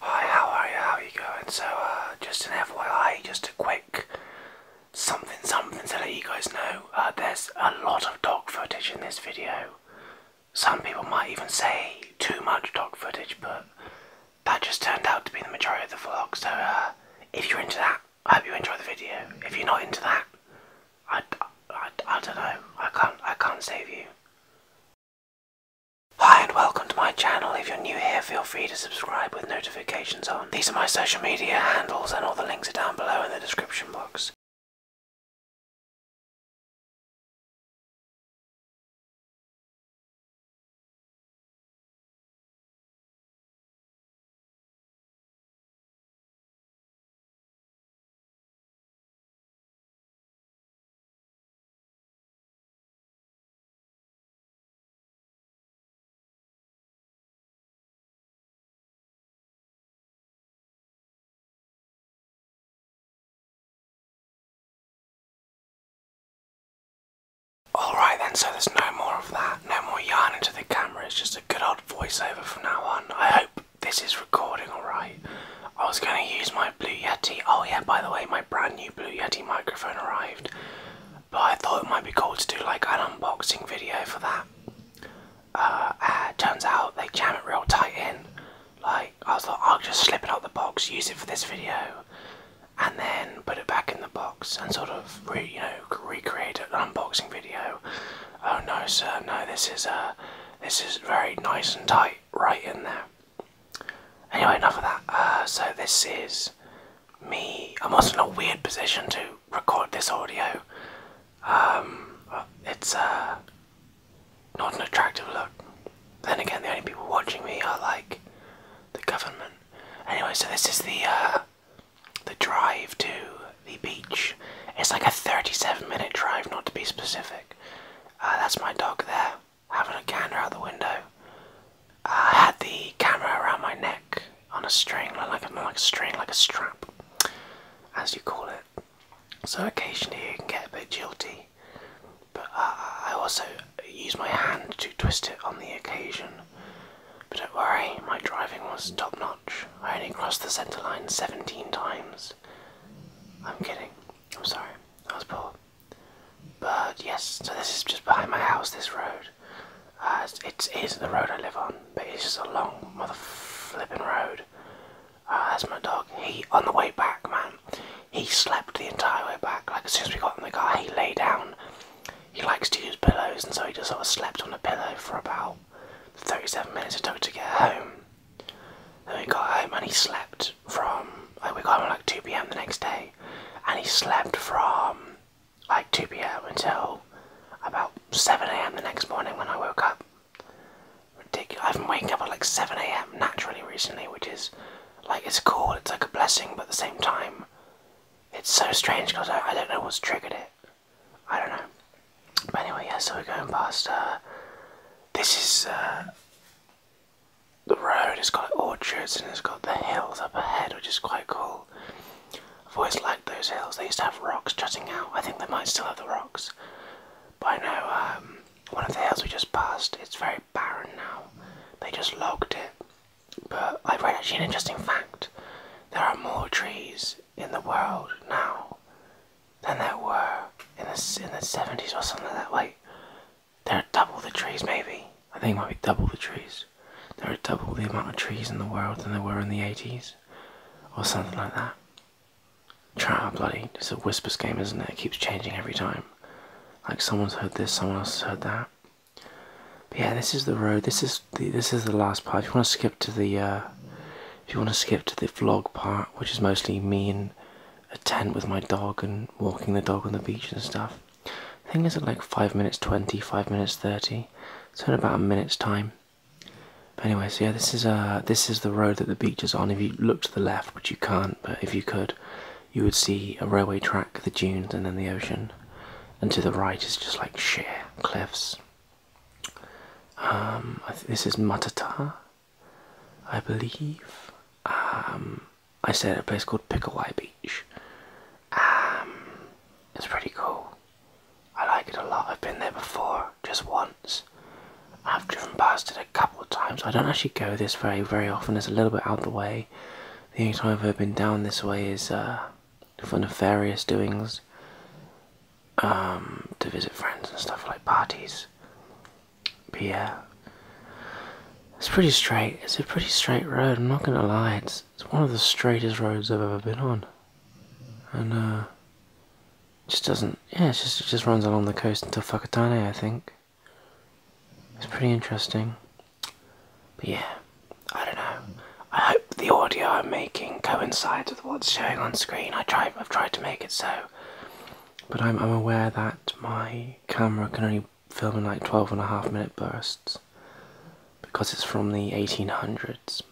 Hi, how are you? How are you going? So, uh, just an FYI, just a quick something something to let you guys know. Uh, there's a lot of dog footage in this video. Some people might even say too much dog footage, but that just turned out to be the majority of the vlog. So, uh, if you're into that, I hope you enjoy the video. If you're not into that, I, I, I don't know. I can't I can't save you. Hi and welcome to my channel. If you're new here, feel free to subscribe with notifications on. These are my social media handles and all the links are down below in the description box. Alright then, so there's no more of that, no more yarn into the camera, it's just a good old voiceover from now on. I hope this is recording alright. I was going to use my Blue Yeti. Oh, yeah, by the way, my brand new Blue Yeti microphone arrived. But I thought it might be cool to do like an unboxing video for that. Uh, uh, turns out they jam it real tight in. Like, I thought, I'll just slip it out the box, use it for this video, and then put it back in the box and sort of, you know, recreate an unboxing video. Oh no, sir, no, this is, uh, this is very nice and tight right in there. Anyway, enough of that. Uh, so this is me. I'm also in a weird position to record this audio. Um, it's uh, not an attractive look. Then again, the only people watching me are like the government. Anyway, so this is the uh, the drive to the beach. It's like a 37 minute drive, not to be specific. Ah, that's my dog there, having a gander out the window. Ah, I had the camera around my neck on a string, like a, like a string, like a strap, as you call it. So occasionally you can get a bit jilty, but ah, I also use my hand to twist it on the occasion. But don't worry, my driving was top notch. I only crossed the centre line 17 times. I'm kidding. I'm sorry, that was poor. But yes, so this is just behind my house, this road. Uh, it is the road I live on, but it's just a long mother flipping road. Uh, that's my dog. He, on the way back, man, he slept the entire way back. Like, as soon as we got in the car, he lay down. He likes to use pillows, and so he just sort of slept on a pillow for about 37 minutes it took to get home. Then we got home and he slept from like we got home like 2 p.m. the next day, and he slept from like 2 p.m. until about 7 a.m. the next morning when I woke up. Ridiculous! I've been waking up at like 7 a.m. naturally recently, which is like it's cool. It's like a blessing, but at the same time, it's so strange because I don't know what's triggered it. I don't know. But anyway, yeah, so we're going past. Uh, this is uh, the road, it's got orchards and it's got the hills up ahead, which is quite cool. I've always liked those hills. They used to have rocks jutting out. I think they might still have the rocks. But I know um, one of the hills we just passed, it's very barren now. They just logged it. But I read actually an interesting fact. There are more trees in the world now than there were in the in the seventies or something like that. Like there are double the trees, maybe. I think it might be double the trees. There are double the amount of trees in the world than there were in the eighties, or something like that. Try our bloody. It's a whispers game, isn't it? keeps changing every time. Like someone's heard this, someone else heard that. But yeah, this is the road. This is the this is the last part. If you want to skip to the uh, if you want to skip to the vlog part, which is mostly me in a tent with my dog and walking the dog on the beach and stuff, I think it's like 5 minutes 20, 5 minutes 30, so in about a minute's time. But anyway, so yeah, this is uh this is the road that the beach is on. If you look to the left, which you can't, but if you could, you would see a railway track, the dunes, and then the ocean. And to the right is just like sheer cliffs. Um, this is Matata, I believe. Um, I said a place called Pickaway Beach. Um, it's pretty cool. I like it a lot. I've been there before, just once. I've driven past it a couple of times. I don't actually go this very, very often. It's a little bit out of the way. The only time I've ever been down this way is uh, for nefarious doings, um, to visit friends and stuff like parties. But yeah, it's pretty straight. It's a pretty straight road. I'm not gonna lie. It's it's one of the straightest roads I've ever been on, and uh, just doesn't. Yeah, it just just runs along the coast until Fakatane, I think. It's pretty interesting. But yeah, I don't know. I hope the audio I'm making coincides with what's showing on screen. I try, I've tried to make it so, but I'm, I'm aware that my camera can only film in like 12 and a half minute bursts because it's from the 1800s.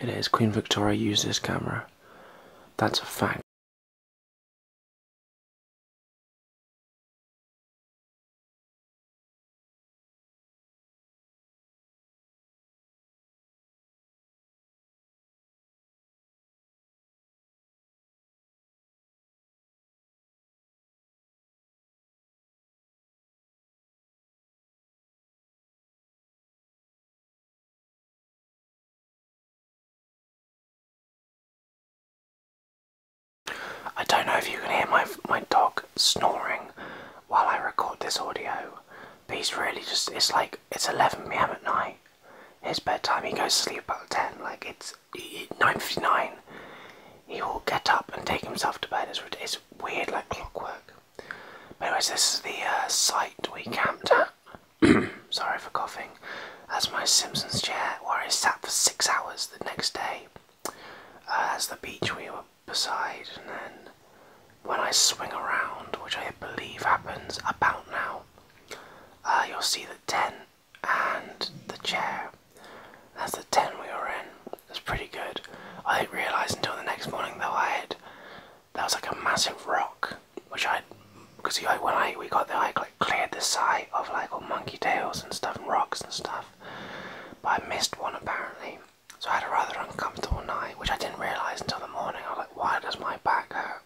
It is. Queen Victoria used this camera. That's a fact. I don't know if you can hear my, my dog snoring while I record this audio. But he's really just, it's like, it's 11pm at night. It's bedtime, he goes to sleep about 10, like it's 9.59. He will get up and take himself to bed. It's, weird, like clockwork. But anyways, this is the uh, site we camped at. Sorry for coughing. That's my Simpsons chair where I sat for six hours the next day. Uh, that's the beach we were beside, and then when I swing around, which I believe happens about now, uh, you'll see the tent and the chair. That's the tent we were in. That's pretty good. I didn't realise until the next morning though I had that was like a massive rock, which I because you like when I we got there, I like cleared the site of like all monkey tails and stuff and rocks and stuff, but I missed one apparently. So I had a rather uncomfortable night, which I didn't realise until the morning. I was like, why does my back hurt?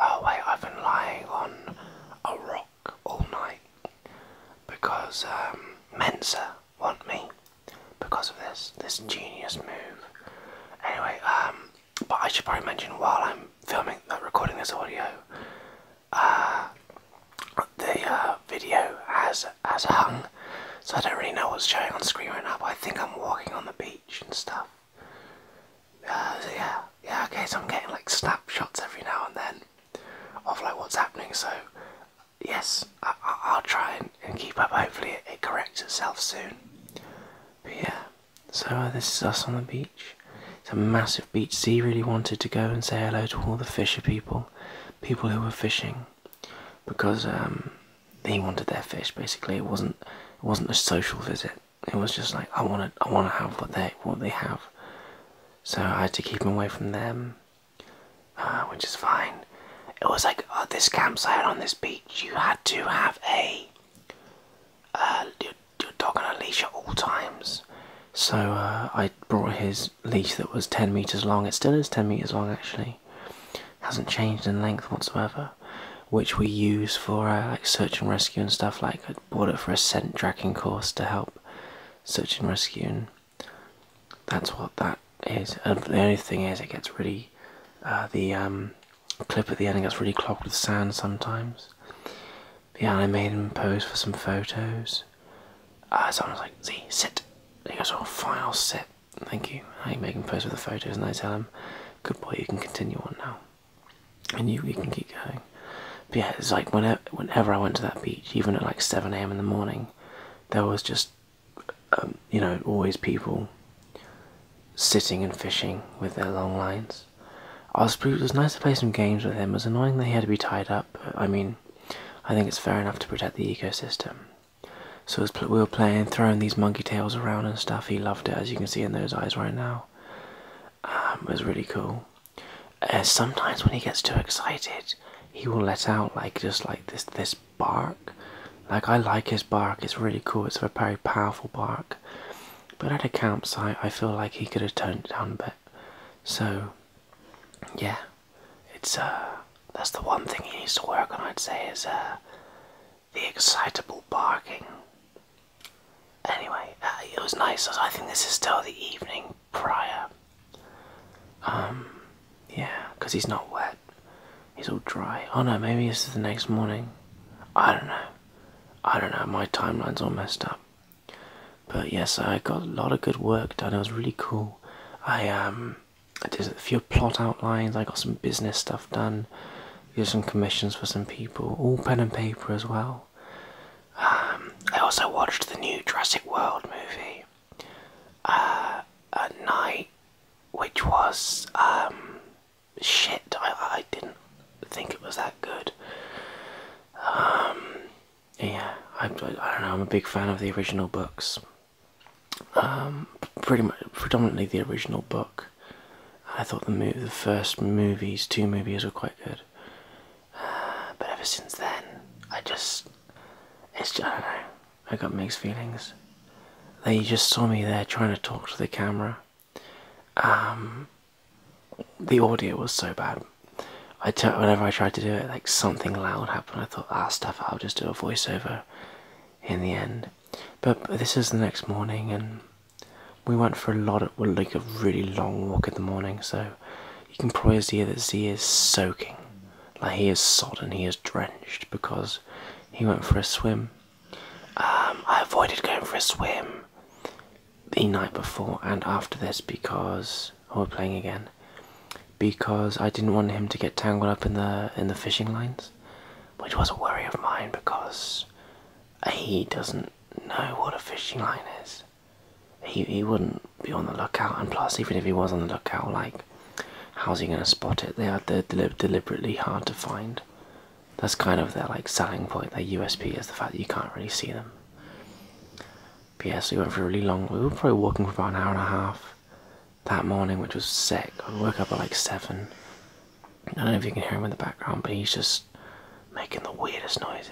Oh wait, I've been lying on a rock all night because um, Mensa want me because of this this genius move. Anyway, um, but I should probably mention while I'm filming, uh, recording this audio, uh, the uh, video has as, hung, so I don't really know what's showing on screen right now, but I think I'm walking on the beach and stuff. Uh, yeah, yeah, okay, so I'm getting like snapshots every now and then of like what's happening, so yes, I, will try and, keep up, hopefully it, it, corrects itself soon. But yeah, so uh, this is us on the beach. It's a massive beach, Z really wanted to go and say hello to all the fisher people people who were fishing because um, they wanted their fish. Basically, it wasn't it wasn't a social visit. It was just like I wanted I want to have what they what they have. So I had to keep him away from them, uh, which is fine. It was like oh, this campsite on this beach. You had to have a uh, your, dog on a leash at all times. So I brought his leash that was 10 meters long, it still is 10 meters long actually, hasn't changed in length whatsoever, which we use for uh, like search and rescue and stuff. Like I bought it for a scent tracking course to help search and rescue, and that's what that is. And the only thing is, it gets really uh, the um, clip at the end gets really clogged with sand sometimes. yeah, I made him pose for some photos. Uh, someone's like, Z, sit. And he goes, oh, fine, I'll sit. Thank you. I make him post with the photos, and I tell him, good boy, you can continue on now. And you, you can keep going. But yeah, it's like whenever, whenever I went to that beach, even at like 7 a.m. in the morning, there was just, um, you know, always people sitting and fishing with their long lines. I it was nice to play some games with him. It was annoying that he had to be tied up. I mean, I think it's fair enough to protect the ecosystem. So as we were playing, throwing these monkey tails around and stuff, he loved it, as you can see in those eyes right now. Um, it was really cool. Uh, sometimes when he gets too excited, he will let out like just like this this bark. Like I like his bark; it's really cool. It's a very powerful bark. But at a campsite, I feel like he could have toned down a bit. So yeah, it's uh, that's the one thing he needs to work on. I'd say is uh, the excitable barking. Anyway, uh, it was nice. I think this is still the evening prior. Um, yeah, because he's not wet. He's all dry. Oh no, maybe this is the next morning. I don't know. I don't know. My timeline's all messed up. But yes, I got a lot of good work done. It was really cool. I did um, a few plot outlines. I got some business stuff done. Did some commissions for some people. All pen and paper as well. Um, I also watched the new Jurassic World movie uh, at night, which was um, shit. I I didn't think it was that good yeah, I, I, don't know. I'm a big fan of the original books. Um, pretty much, predominantly the original book. I thought the movie, the first movies, two movies were quite good. but ever since then, I just, it's I don't know. I got mixed feelings. They just saw me there trying to talk to the camera. Um, the audio was so bad. I t whenever I tried to do it, like something loud happened. I thought, ah, stuff. I'll just do a voiceover in the end. But, this is the next morning, and we went for a lot of well, like a really long walk in the morning. So you can probably hear that Z is soaking, like he is sodden, he is drenched because he went for a swim. Um, I avoided going for a swim the night before and after this because oh, we're playing again because I didn't want him to get tangled up in the in the fishing lines, which was a worry of mine because he doesn't know what a fishing line is. He he wouldn't be on the lookout, and plus, even if he was on the lookout, like how's he gonna spot it? They are deliberately hard to find that's kind of their like selling point, their USP is the fact that you can't really see them. But yeah, so we went for a really long we were probably walking for about an hour and a half that morning, which was sick. I woke up at like seven. I don't know if you can hear him in the background, but he's just making the weirdest noises.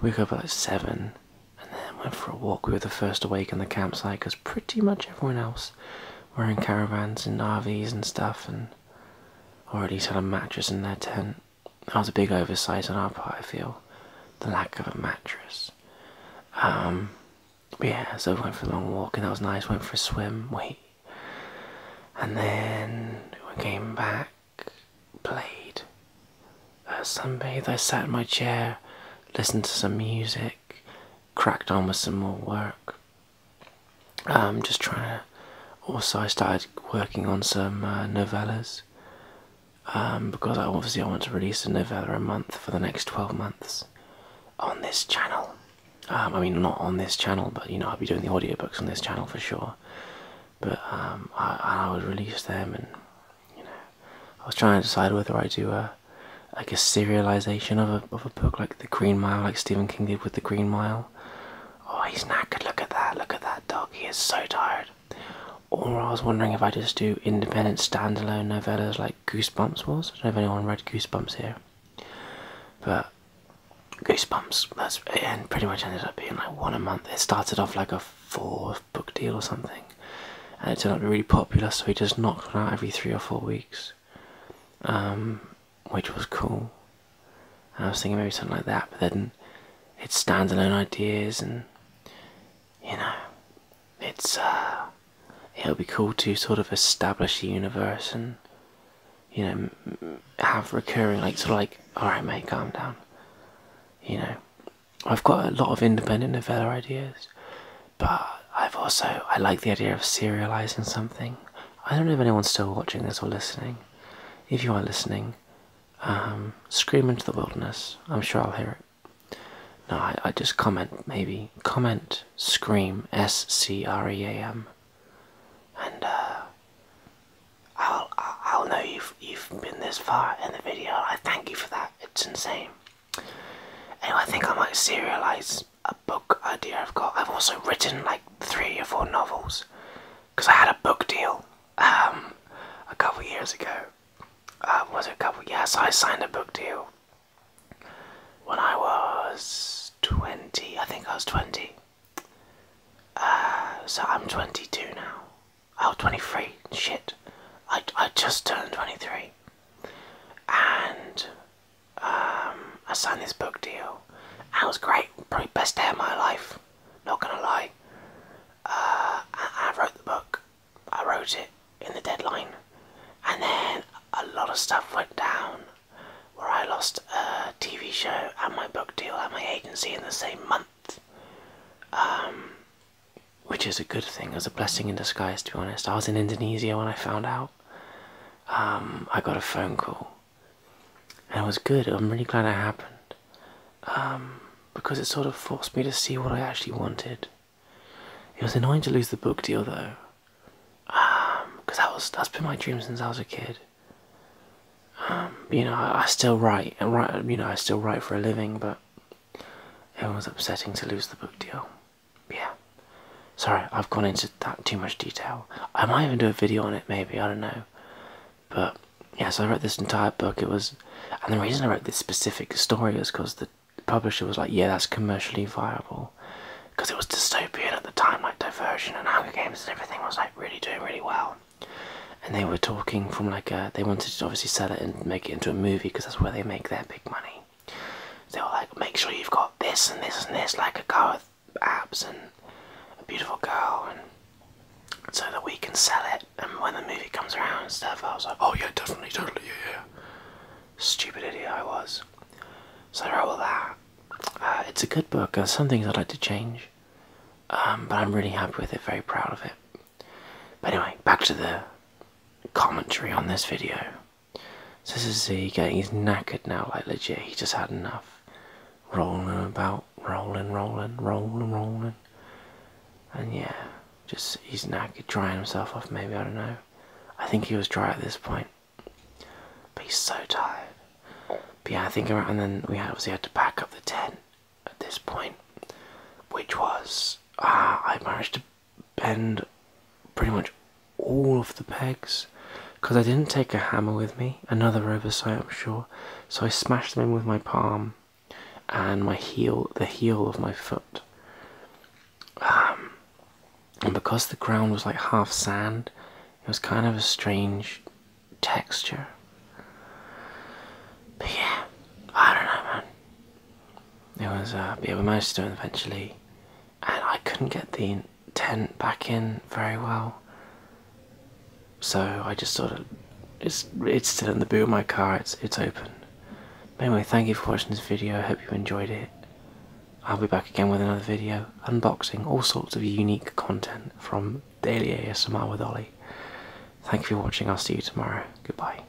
We woke up at like seven and then went for a walk. We were the first awake in the campsite because pretty much everyone else were in caravans and RVs and stuff and already had a mattress in their tent that was a big oversight on our part, I feel. The lack of a mattress. Um, yeah, so I went for a long walk and that was nice. Went for a swim, wait. And then we came back, played, a uh, sunbath. I sat in my chair, listened to some music, cracked on with some more work, I'm um, just trying to. Also, I started working on some uh, novellas um, because obviously I want to release a novella a month for the next 12 months on this channel. Um, I mean, not on this channel, but you know, I'll be doing the audiobooks on this channel for sure. But I, I would release them, and you know, I was trying to decide whether I do a like a serialization of a of a book like The Green Mile, like Stephen King did with The Green Mile, Oh, he's knackered. Look at that. Look at that dog. He is so tired. Or I was wondering if I just do independent standalone novellas like Goosebumps was. I don't know if anyone read Goosebumps here. But Goosebumps, that's and pretty much ended up being like one a month. It started off like a four book deal or something. And it turned out to be really popular, so he just knocked one out every three or four weeks. Um, which was cool. I was thinking maybe something like that, but then it's standalone ideas, and you know, it's uh, it'll be cool to sort of establish a universe and you know have recurring like sort of like all right, mate, calm down. You know, I've got a lot of independent novella ideas, but I've also I like the idea of serializing something I don't know if anyone's still watching this or listening. If you are listening, um, scream into the wilderness. I'm sure I'll hear it. No, I, just comment maybe. Comment, scream, S C R E A M, and uh, I'll I'll know you've you've been this far in the video. I thank you for that. It's insane. Anyway, I think I might serialize a book idea I've got. I've also written like three or four novels because I had a book deal um, a couple years ago. Uh, was it a couple? Yes, yeah, I signed a book deal when I was 20. I think I was 20. Uh, so I'm 22 now. Oh, 23. Shit. I, I just turned 23. And I um, signed this book deal. It was great. Probably best day of my life. Not gonna lie. Uh, I, wrote the book. I wrote it in the deadline, and then a lot of stuff went down where I lost a TV show and my book deal and my agency in the same month. Um, which is a good thing, it was a blessing in disguise to be honest. I was in Indonesia when I found out. Um, I got a phone call, and it was good. I'm really glad it happened um, because it sort of forced me to see what I actually wanted. It was annoying to lose the book deal though, because um, that was that's been my dream since I was a kid. you know, I still write and write. You know, I still write for a living, but it was upsetting to lose the book deal yeah. Sorry, I've gone into that too much detail. I might even do a video on it, maybe. I don't know. But yeah, so I wrote this entire book. It was, and the reason I wrote this specific story is because the publisher was like, "Yeah, that's commercially viable," because it was dystopian at the time, like Divergent and Hunger Games and everything was like really doing really well. And they were talking from like they wanted to obviously sell it and make it into a movie because that's where they make their big money. They were like, make sure you've got this and this and this, like a car with abs and a beautiful girl, and so that we can sell it. And when the movie comes around and stuff, I was like, oh yeah, definitely, totally, yeah, yeah. Stupid idiot I was. So I wrote all that. Uh, it's a good book. There's some things I'd like to change, um, but I'm really happy with it. Very proud of it. But anyway, back to the commentary on this video this is Z getting he's knackered now, like legit, he just had enough. Rolling about, rolling, rolling, rolling, rolling. And yeah, just he's knackered, drying himself off maybe, I don't know. I think he was dry at this point. But he's so tired. But yeah, I think around and then we obviously had to pack up the tent at this point. Which was ah I managed to bend pretty much all of the pegs because I didn't take a hammer with me, another oversight I'm sure, so I smashed them in with my palm and my heel, the heel of my foot. Um, and because the ground was like half sand, it was kind of a strange texture. But yeah, I don't know, it was uh, yeah, we managed to it eventually, and I couldn't get the tent back in very well. So I just sort of it's it's still in the boot of my car. It's it's open. anyway, thank you for watching this video. I hope you enjoyed it. I'll be back again with another video unboxing all sorts of unique content from Daily ASMR with Ollie. Thank you for watching. I'll see you tomorrow. Goodbye.